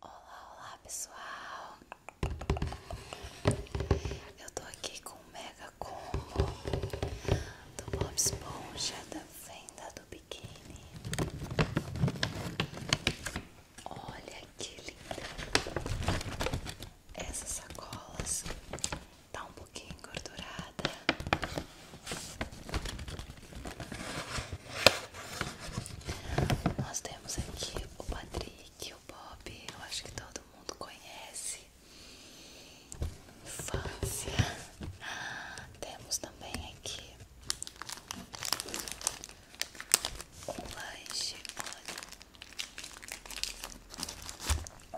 Olá, olá pessoal! Eu tô aqui com o mega combo do Bob Esponja da venda do biquíni. Olha que linda! Essas sacolas tá um pouquinho engordurada, nós temos aqui o Patrick, o Bob, eu acho que todo mundo conhece. Infância. Temos também aqui o lanche, olha.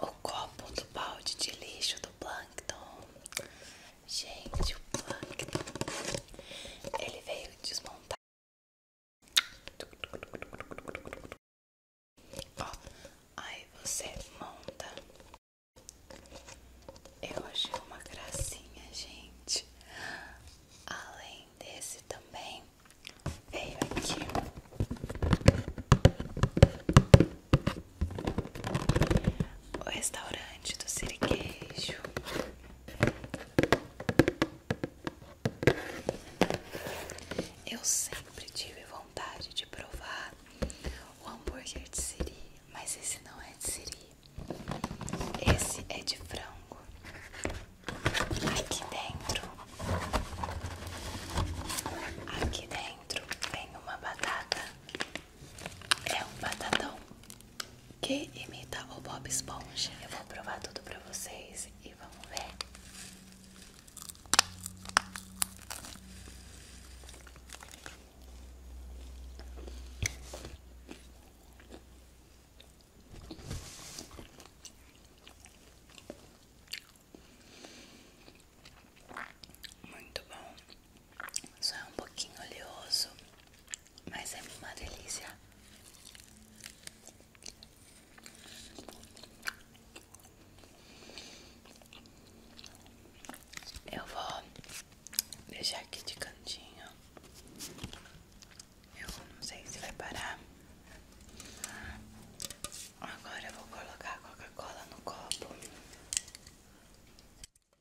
O copo do balde de lixo do Plankton. Gente, o plug ele veio desmontar. Ó, aí você monta. Eu achei uma gracinha, gente. Além desse também veio aqui. O restaurante do Sirigueijo eu sempre tive vontade de provar o hambúrguer de siri, mas esse não é de siri. Esse é de frango. Aqui dentro, aqui dentro vem uma batata é um batatão que imita o Bob Esponja. Eu vou provar tudo pra vocês e vamos ver. Muito bom. Só é um pouquinho oleoso, mas é uma delícia. Eu vou deixar aqui de cantinho. Eu não sei se vai parar. Agora eu vou colocar a Coca-Cola no copo.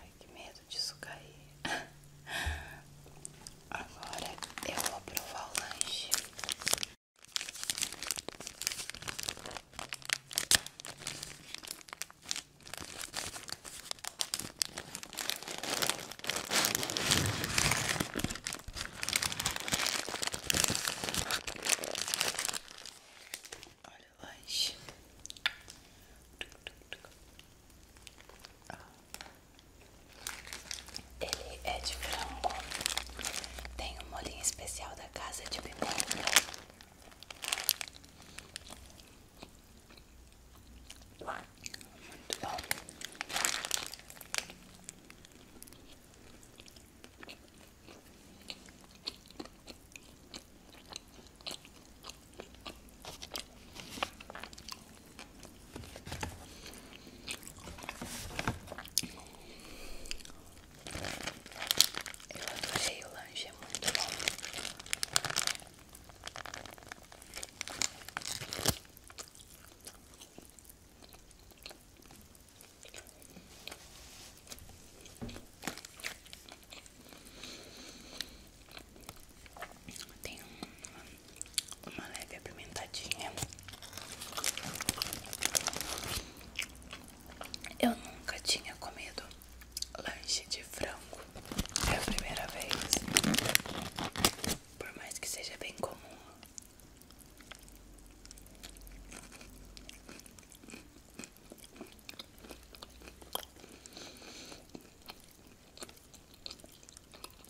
Ai, que medo disso cair. Agora eu vou provar o lanche. Olha o lanche. Ele é de frango, tem um molinho especial da casa de pimenta. Eu adorei o lanche, é muito bom. Tem uma, uma leve apimentadinha. Eu nunca tinha comido lanche de frango. É a primeira vez. Por mais que seja bem comum.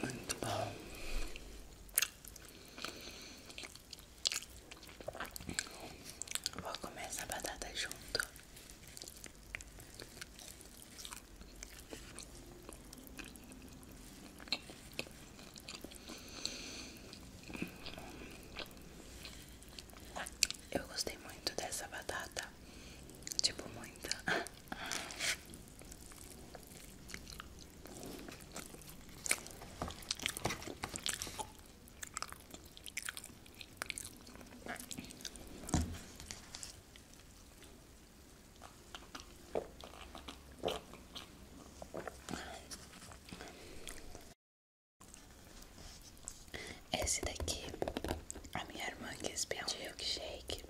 Muito bom. Vou comer essa batata junto. Eu gostei muito dessa batata, tipo muita. Esse daqui, a minha irmã quis pedir um milkshake.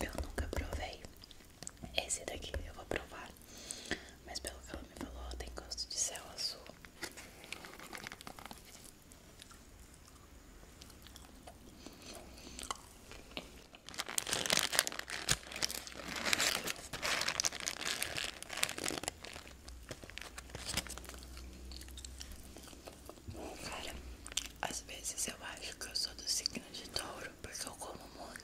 Eu nunca provei. Esse daqui eu vou provar. Mas pelo que ela me falou, tem gosto de céu azul. Cara, às vezes eu acho que eu sou do signo de touro porque eu como muito.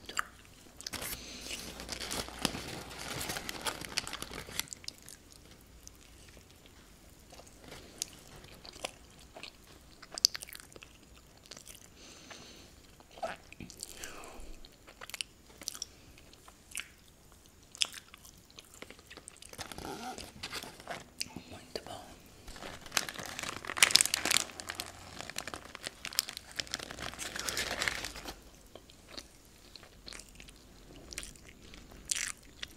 Muito bom.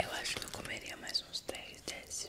Eu acho que eu comeria mais uns três desse.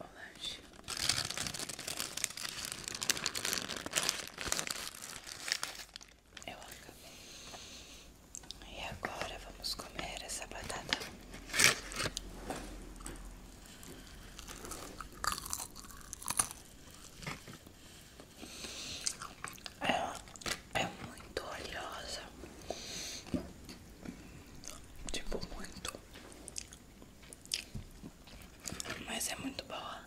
o lanche. Eu acabei. E agora vamos comer essa batata. Ela é, é muito oleosa, tipo, muito mas é muito boa.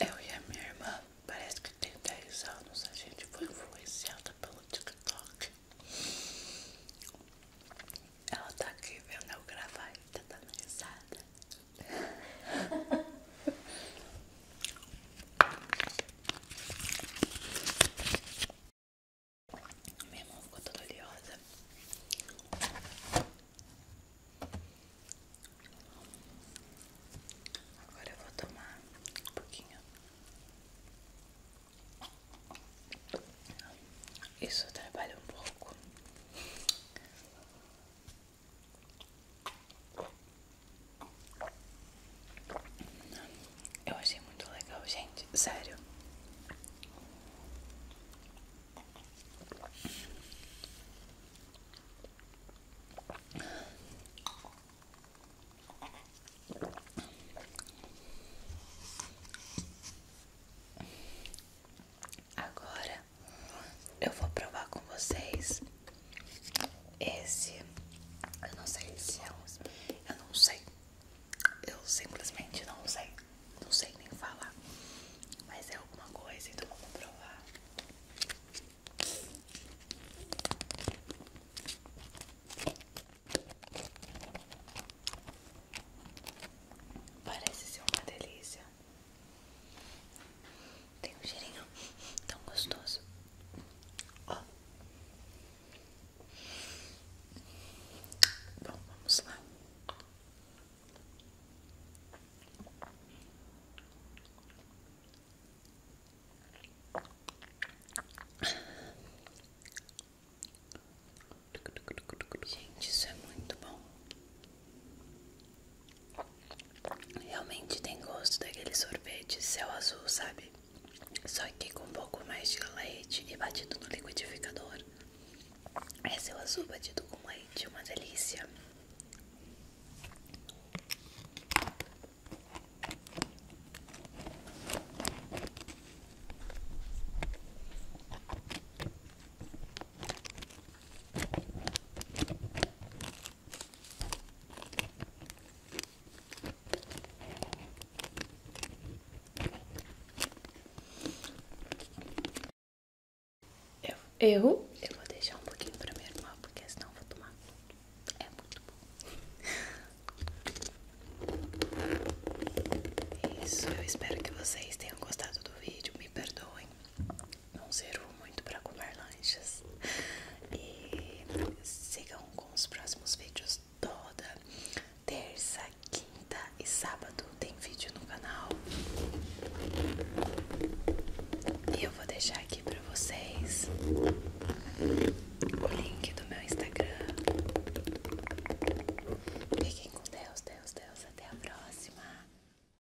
Eu e a minha irmã, parece que tem 10 anos, a gente foi influenciada pelo TikTok. Ela tá aqui vendo eu gravar e tá dando Minha mão ficou toda oleosa. Agora eu vou tomar um pouquinho. Isso trabalha um pouco. Eu achei muito legal, gente. Sério. Agora eu vou provar com vocês esse, eu não sei se é um. Eu não sei. Eu simplesmente não sei. Não sei nem falar. Mas é alguma coisa, então vamos provar. Parece ser uma delícia. Tem um cheirinho tão gostoso. Ó. Bom, vamos lá. Gente, isso é muito bom. Realmente tem gosto daquele sorvete céu azul, sabe? Só que com um pouco mais de leite e batido no liquidificador. É céu azul batido com leite, uma delícia. Eu, eu, eu vou deixar um pouquinho pra minha irmã, porque senão eu vou tomar É muito bom. Isso, eu espero que vocês tenham gostado do vídeo. Me perdoem não zerou muito para comer lanches E sigam com os próximos vídeos toda terça, quinta e sábado tem vídeo no canal. E eu vou deixar aqui para vocês o link do meu Instagram. Fiquem com Deus, Deus, Deus. Até a próxima.